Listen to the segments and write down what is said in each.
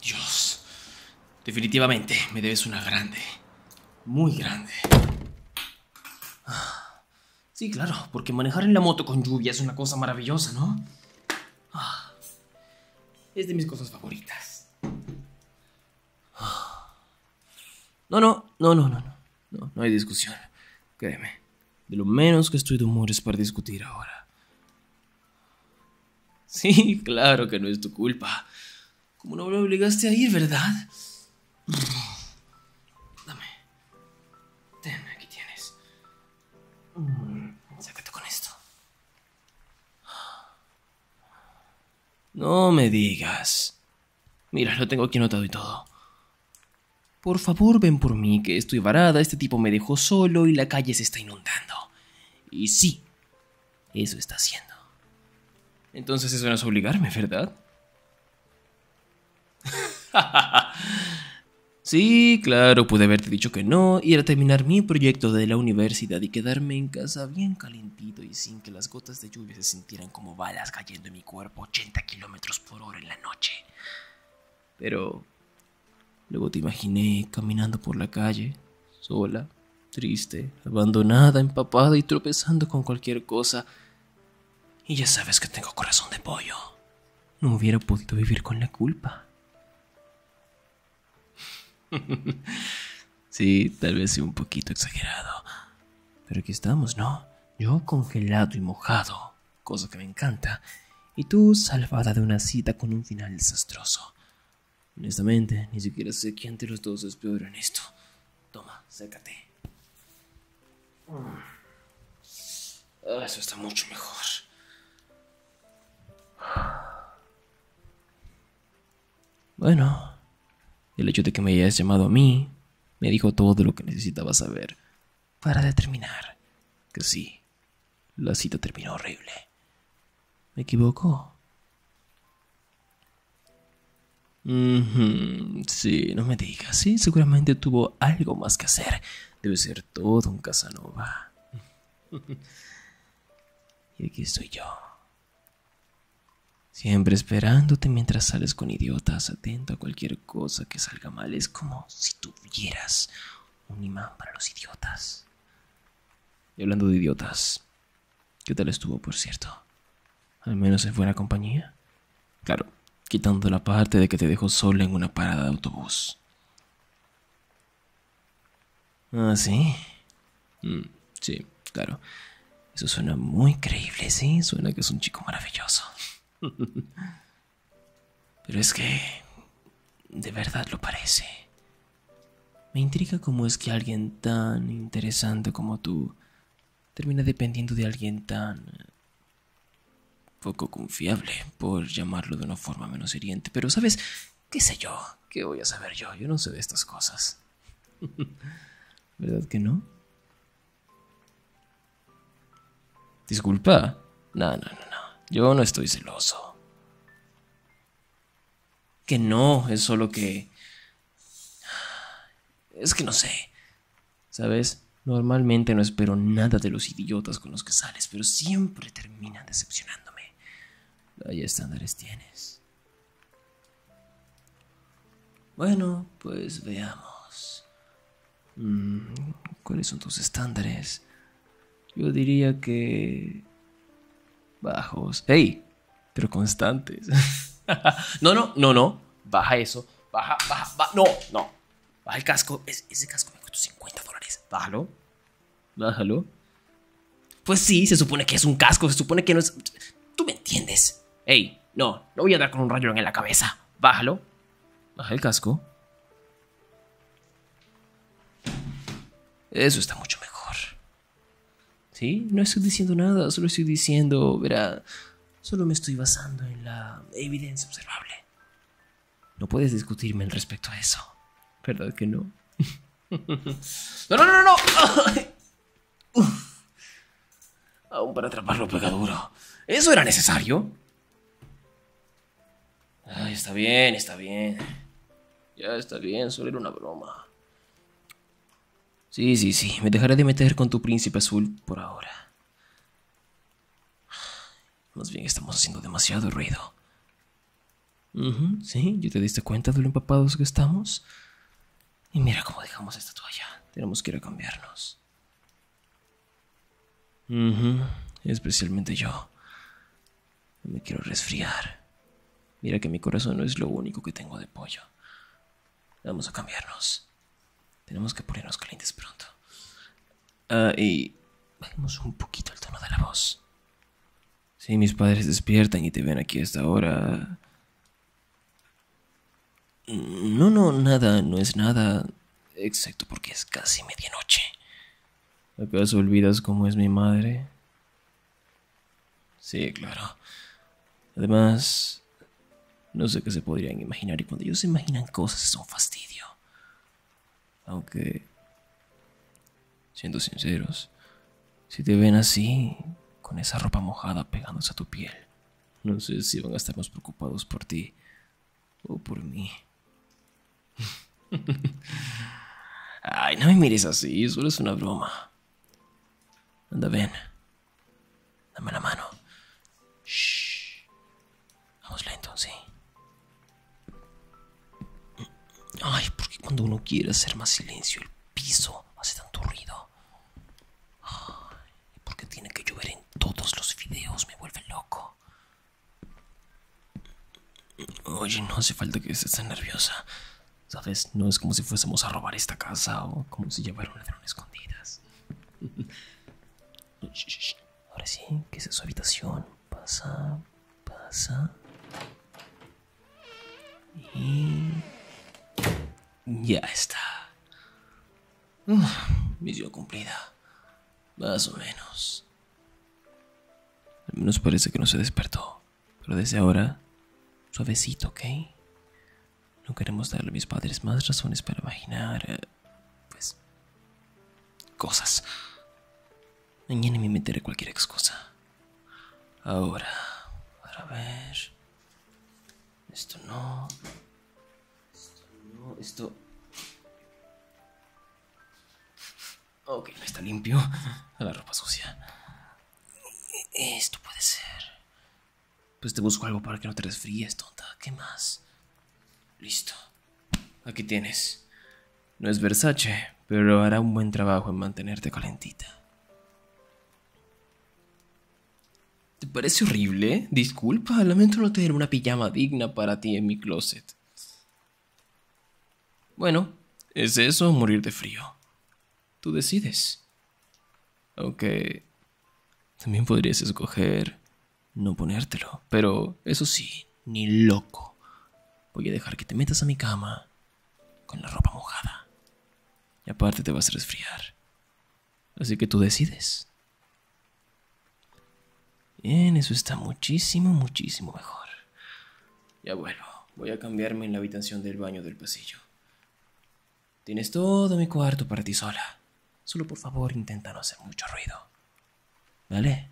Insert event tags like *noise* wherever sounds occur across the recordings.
Dios, definitivamente me debes una grande, muy grande. Ah, sí, claro, porque manejar en la moto con lluvia es una cosa maravillosa, ¿no? Ah, es de mis cosas favoritas. Ah. No, no, no, no, no. No, no hay discusión. Créeme. De lo menos que estoy de humor para discutir ahora. Sí, claro que no es tu culpa. Como no lo obligaste a ir, ¿verdad? Dame. Ten, aquí tienes. Mm, sácate con esto. No me digas. Mira, lo tengo aquí anotado y todo. Por favor, ven por mí, que estoy varada, este tipo me dejó solo y la calle se está inundando. Y sí, eso está haciendo. Entonces eso no es obligarme, ¿verdad? *laughs* sí, claro, pude haberte dicho que no, y era terminar mi proyecto de la universidad y quedarme en casa bien calentito y sin que las gotas de lluvia se sintieran como balas cayendo mi cuerpo 80 kilómetros por hora en la noche. Pero luego te imaginé caminando por la calle, sola, triste, abandonada, empapada y tropezando con cualquier cosa. Y ya sabes que tengo corazón de pollo. No hubiera podido vivir con la culpa. *laughs* sí, tal vez sea un poquito exagerado. Pero aquí estamos, ¿no? Yo congelado y mojado, cosa que me encanta, y tú salvada de una cita con un final desastroso. Honestamente, ni siquiera sé quién de los dos es peor en esto. Toma, sécate. Ah, eso está mucho mejor. Bueno, el hecho de que me hayas llamado a mí me dijo todo lo que necesitaba saber para determinar que sí, la cita terminó horrible. ¿Me equivoco? Sí, no me digas. Sí, seguramente tuvo algo más que hacer. Debe ser todo un Casanova. *laughs* y aquí estoy yo, Siempre esperándote mientras sales con idiotas, atento a cualquier cosa que salga mal. Es como si tuvieras un imán para los idiotas. Y hablando de idiotas, ¿qué tal estuvo, por cierto? Al menos en buena compañía. Claro, quitando la parte de que te dejó sola en una parada de autobús. Ah, sí. Mm, sí, claro. Eso suena muy creíble, ¿sí? Suena que es un chico maravilloso. *laughs* Pero es que... De verdad lo parece. Me intriga cómo es que alguien tan interesante como tú termina dependiendo de alguien tan poco confiable, por llamarlo de una forma menos hiriente. Pero, ¿sabes? ¿Qué sé yo? ¿Qué voy a saber yo? Yo no sé de estas cosas. *laughs* ¿Verdad que no? Disculpa. No, no, no, no. Yo no estoy celoso. Que no, es solo que... Es que no sé. ¿Sabes? Normalmente no espero nada de los idiotas con los que sales, pero siempre terminan decepcionándome. están estándares tienes. Bueno, pues veamos. Mm, ¿Cuáles son tus estándares? Yo diría que... Bajos. ¡Ey! Pero constantes. *laughs* no, no, no, no. Baja eso. Baja, baja, baja. No, no. Baja el casco. ese casco me costó 50 dólares. Bájalo. Bájalo. Pues sí, se supone que es un casco, se supone que no es... Tú me entiendes. Ey, no, no voy a dar con un rayón en la cabeza. Bájalo. Baja el casco. Eso está mucho mejor. ¿Sí? No estoy diciendo nada, solo estoy diciendo, verá, solo me estoy basando en la evidencia observable. No puedes discutirme en respecto a eso. ¿Verdad que no? *laughs* no, no, no, no. Aún para atraparlo pegaduro ¿Eso era necesario? Ay, está bien, está bien. Ya está bien, solo era una broma. Sí, sí, sí, me dejaré de meter con tu príncipe azul por ahora. Más bien estamos haciendo demasiado ruido sí, yo te diste cuenta de lo empapados que estamos? Y mira cómo dejamos esta toalla. Tenemos que ir a cambiarnos. especialmente yo. me quiero resfriar. Mira que mi corazón no es lo único que tengo de pollo. Vamos a cambiarnos. Tenemos que ponernos calientes pronto. Ah, y bajemos un poquito el tono de la voz. Si mis padres despiertan y te ven aquí a esta hora... No, no, nada, no es nada. Exacto, porque es casi medianoche. ¿Acaso olvidas cómo es mi madre? Sí, claro. Además, no sé qué se podrían imaginar y cuando ellos se imaginan cosas es un fastidio. Aunque Siendo sinceros, si te ven así, con esa ropa mojada pegándose a tu piel, no sé si van a estar más preocupados por ti o por mí. *laughs* Ay, no me mires así, solo es una broma. Anda, ven. Dame la mano. Vamos lento, sí. Ay, porque cuando uno quiere hacer más silencio, el piso hace tanto ruido. Ay, porque tiene que llover en todos los videos, me vuelve loco. Oye, no hace falta que estés tan nerviosa. ¿Sabes? No es como si fuésemos a robar esta casa o como si llevaron ladrón escondidas. *laughs* Ahora sí, que es su habitación. Pasa, pasa. Y ya está. Misión cumplida. Más o menos. Al menos parece que no se despertó. Pero desde ahora, suavecito, ¿ok? No queremos darle a mis padres más razones para imaginar, eh, pues, cosas. Mañana me meteré cualquier excusa. Ahora, para ver. Esto no. Esto no. Esto. Ok, no está limpio. *laughs* La ropa sucia. Esto puede ser. Pues te busco algo para que no te resfríes, tonta. ¿Qué más? Listo. Aquí tienes. No es Versace, pero hará un buen trabajo en mantenerte calentita. ¿Te parece horrible? Disculpa, lamento no tener una pijama digna para ti en mi closet. Bueno, ¿es eso o morir de frío? Tú decides. Aunque... También podrías escoger no ponértelo, pero eso sí, ni loco. Voy a dejar que te metas a mi cama con la ropa mojada. Y aparte te vas a resfriar. Así que tú decides. Bien, eso está muchísimo, muchísimo mejor. Ya vuelvo. Voy a cambiarme en la habitación del baño del pasillo. Tienes todo mi cuarto para ti sola. Solo por favor intenta no hacer mucho ruido. ¿Vale?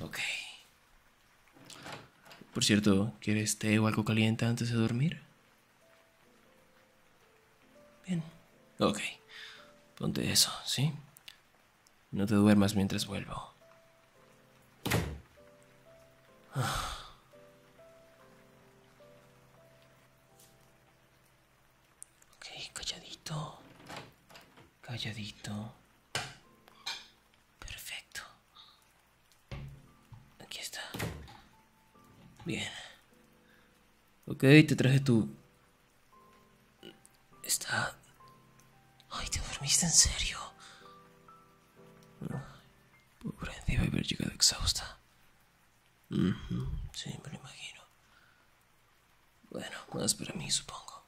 Ok. Por cierto, ¿quieres té o algo caliente antes de dormir? Bien. Ok. Ponte eso, ¿sí? No te duermas mientras vuelvo. Ok, calladito. Calladito. Perfecto. Aquí está. Bien. Ok, te traje tu... Está... Ay, ¿te dormiste en serio? Pobre, debe haber llegado exhausta. Sí, me lo imagino. Bueno, más para mí, supongo.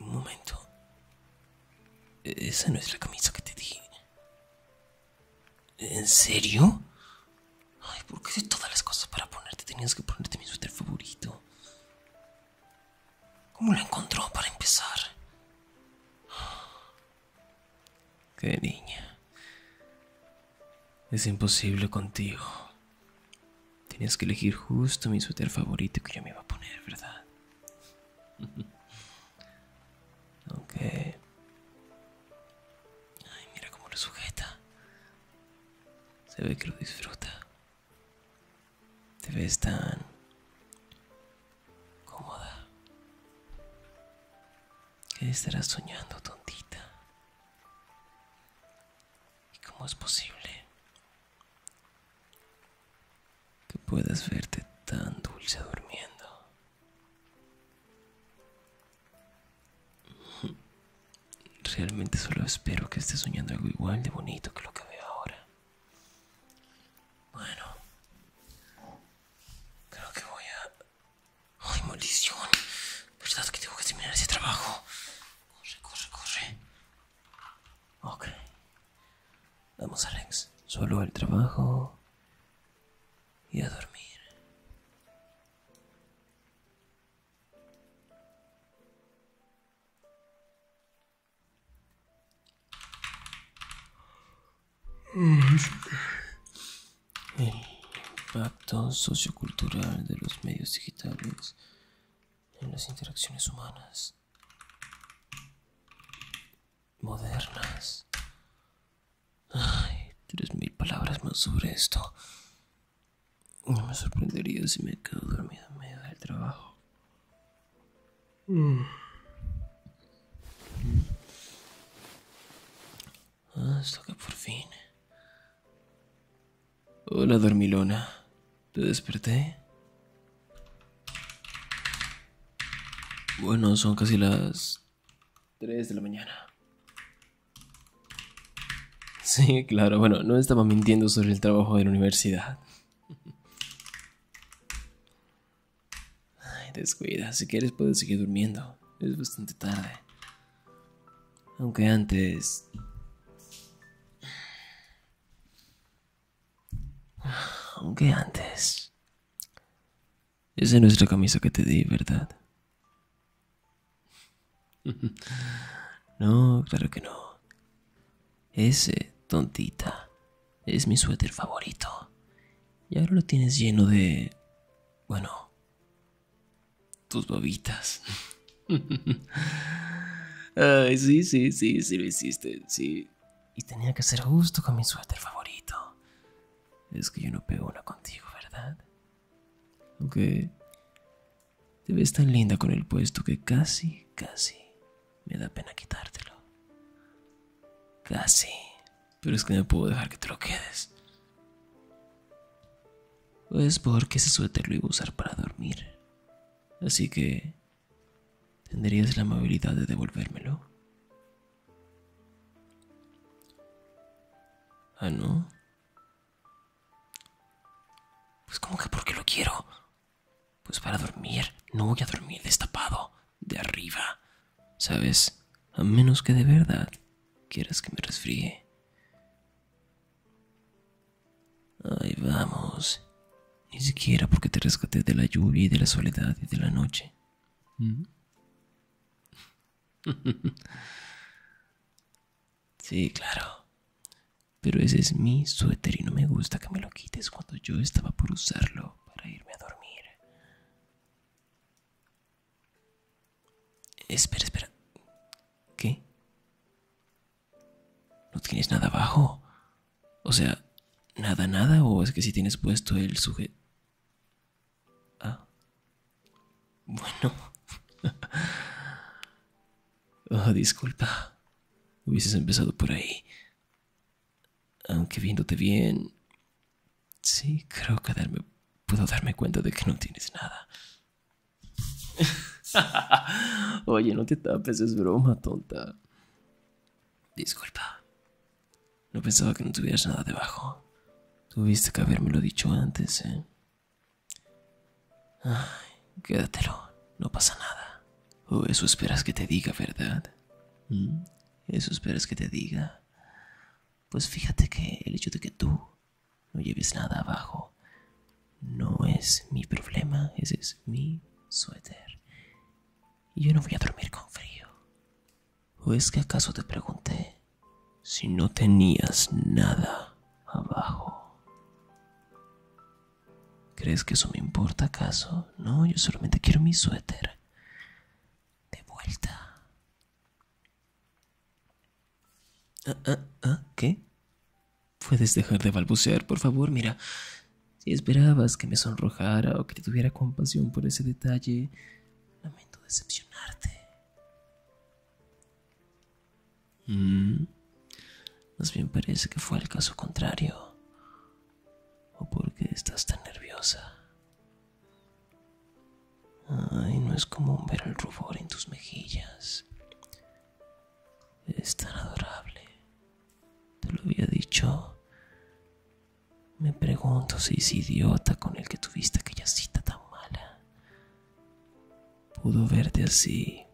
Un momento. E-, esa no es la camisa que te di. ¿En serio? Ay, ¿por qué de todas las cosas para ponerte tenías que ponerte mi suéter favorito? ¿Cómo la encontró para empezar? Qué niña. Es imposible contigo. Tienes que elegir justo mi suéter favorito que yo me iba a poner, ¿verdad? Aunque... *laughs* Ay, mira cómo lo sujeta. Se ve que lo disfruta. Te ves tan cómoda. ¿Qué estarás soñando, tontita? ¿Y cómo es posible que puedas verte tan dulce durmiendo? *laughs* Realmente solo espero que estés soñando algo igual de bonito que lo que veo ahora. Bueno, Creo que voy a... ¡Ay, maldición! ¿Verdad que tengo que terminar ese trabajo? Corre, corre, corre. Ok. Vamos, Alex. Solo al trabajo y a dormir. El impacto sociocultural de los medios digitales en las interacciones humanas modernas. Ay, tres mil palabras más sobre esto. No me sorprendería si me quedo dormido en medio del trabajo. Mm. Ah, esto que por fin. Hola, dormilona. ¿Te desperté? Bueno, son casi las Tres de la mañana. Sí, claro, bueno, no estaba mintiendo sobre el trabajo de la universidad. Ay, descuida, si quieres puedes seguir durmiendo. Es bastante tarde. Aunque antes... Aunque antes... ese no es la camisa que te di, ¿verdad? *laughs* No, claro que no. Ese, tontita. Es mi suéter favorito. Y ahora lo tienes lleno de... Bueno... Tus bobitas. *laughs* Ay, sí, sí, sí, sí lo hiciste, sí. Y tenía que ser justo con mi suéter favorito. Es que yo no pego una contigo, ¿verdad? Aunque... Te ves tan linda con el puesto que casi, casi me da pena quitártelo. Casi. Pero es que no puedo dejar que te lo quedes. Pues porque ese suéter lo iba a usar para dormir. Así que... ¿Tendrías la amabilidad de devolvérmelo? ¿Ah, no? Pues como que porque lo quiero. Pues para dormir, no voy a dormir destapado, de arriba. ¿Sabes? A menos que de verdad quieras que me resfríe. Ay, vamos. Ni siquiera porque te rescaté de la lluvia y de la soledad y de la noche. Mm. *laughs* sí, claro. Pero ese es mi suéter y no me gusta que me lo quites cuando yo estaba por usarlo para irme a dormir. Espera, espera. ¿Qué? ¿No tienes nada abajo? O sea, nada, nada, o es que si tienes puesto el sujeto... Ah. Bueno. *laughs* oh, disculpa. Hubieses empezado por ahí. Aunque viéndote bien, sí, creo que puedo darme cuenta de que no tienes nada. *laughs* Oye, no te tapes, es broma, tonta. Disculpa. No pensaba que no tuvieras nada debajo. Tuviste que habérmelo dicho antes, ¿eh? Ay, quédatelo, no pasa nada. O eso esperas que te diga, ¿verdad? ¿Mm? Eso esperas que te diga. Pues fíjate que el hecho de que tú no lleves nada abajo no es mi problema, ese es mi suéter. Y yo no voy a dormir con frío. ¿O es que acaso te pregunté si no tenías nada abajo? ¿Crees que eso me importa acaso? No, yo solamente quiero mi suéter. De vuelta. Ah, ah, ah, ¿qué? ¿Puedes dejar de balbucear, por favor? Mira, si esperabas que me sonrojara o que tuviera compasión por ese detalle, lamento decepcionarte. Mmm más bien parece que fue el caso contrario. ¿O por qué estás tan nerviosa? Ay, no es común ver el rubor en tus mejillas. Es tan adorable. Te lo había dicho. Me pregunto si ese idiota con el que tuviste aquella cita tan mala pudo verte así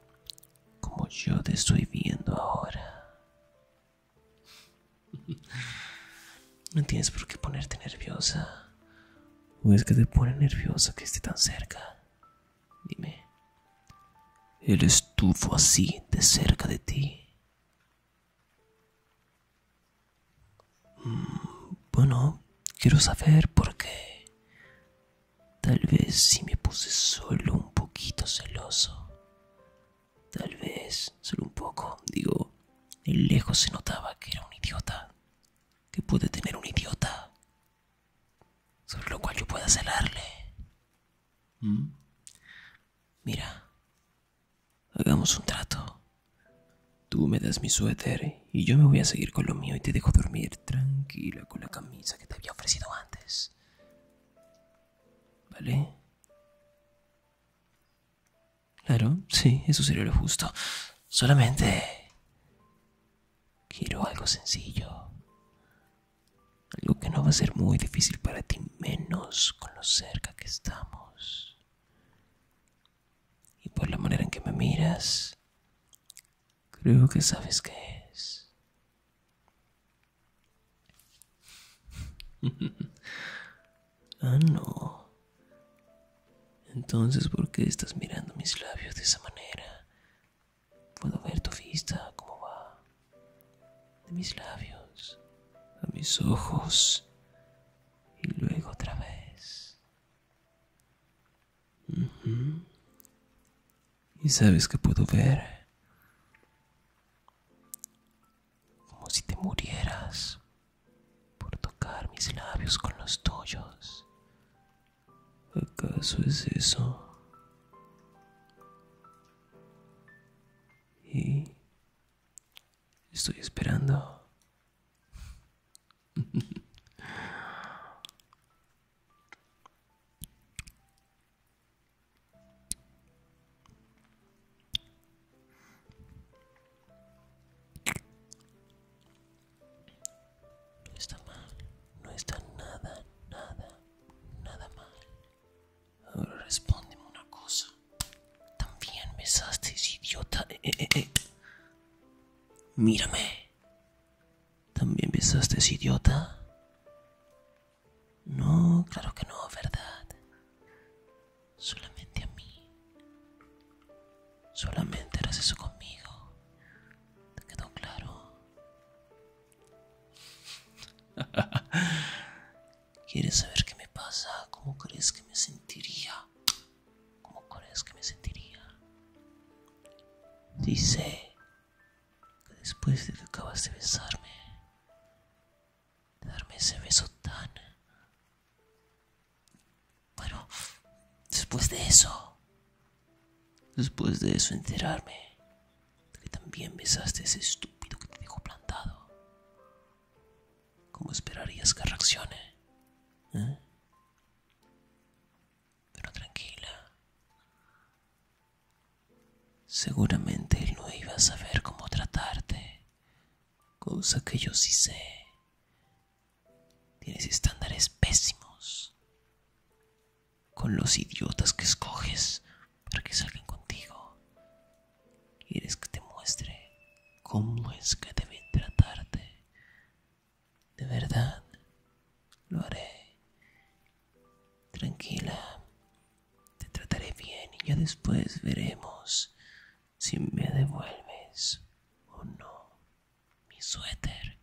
como yo te estoy viendo ahora. No tienes por qué ponerte nerviosa. ¿O es que te pone nerviosa que esté tan cerca? Dime. Él estuvo así de cerca de ti. Mm, bueno, quiero saber por qué. Tal vez si me puse solo un poquito celoso. Tal vez, solo un poco, digo, en lejos se notaba que era un idiota. Que puede tener un idiota. Sobre lo cual yo pueda celarle. ¿Mm? Mira, hagamos un trato. Tú me das mi suéter y yo me voy a seguir con lo mío y te dejo dormir tranquila con la camisa que te había ofrecido antes. ¿Vale? Claro, sí, eso sería lo justo. Solamente... Quiero algo sencillo. Algo que no va a ser muy difícil para ti, menos con lo cerca que estamos. Y por la manera en que me miras, Creo que sabes qué es. *laughs* ah, no. Entonces, ¿por qué estás mirando mis labios de esa manera? Puedo ver tu vista, cómo va. De mis labios a mis ojos y luego otra vez. Y sabes que puedo ver como si te murieras por tocar mis labios con los tuyos. ¿Acaso es eso? Y estoy esperando. *laughs* No está mal, no está nada, nada, nada mal. Ahora respóndeme una cosa. También besaste, idiota. Eh, eh, eh, eh. Mírame. ¿También besaste ese idiota? No, claro que no, ¿verdad? Solamente a mí. Solamente harás eso conmigo. ¿Te quedó claro? *laughs* ¿Quieres saber qué me pasa? ¿Cómo crees que me sentiría? ¿Cómo crees que me sentiría? Dice, después de que acabas de besarme, de darme ese beso tan... Bueno, después de eso, después de eso enterarme de que también besaste ese estúpido que te dejó plantado, ¿cómo esperarías que reaccione? ¿Eh? pero tranquila. Seguramente él no iba a saber cómo tratarte, cosa que yo sí sé. Tienes estándares pésimos con los idiotas que escoges para que salgan contigo. Quieres que te muestre cómo es que deben tratarte de verdad, lo haré. Tranquila, te trataré bien y ya después veremos si me devuelves o no mi suéter.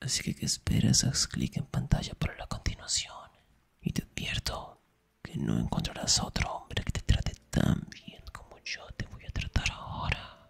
Así que, ¿qué esperas? Haz clic en pantalla para la continuación. Y te advierto que no encontrarás a otro hombre que te trate tan bien como yo te voy a tratar ahora.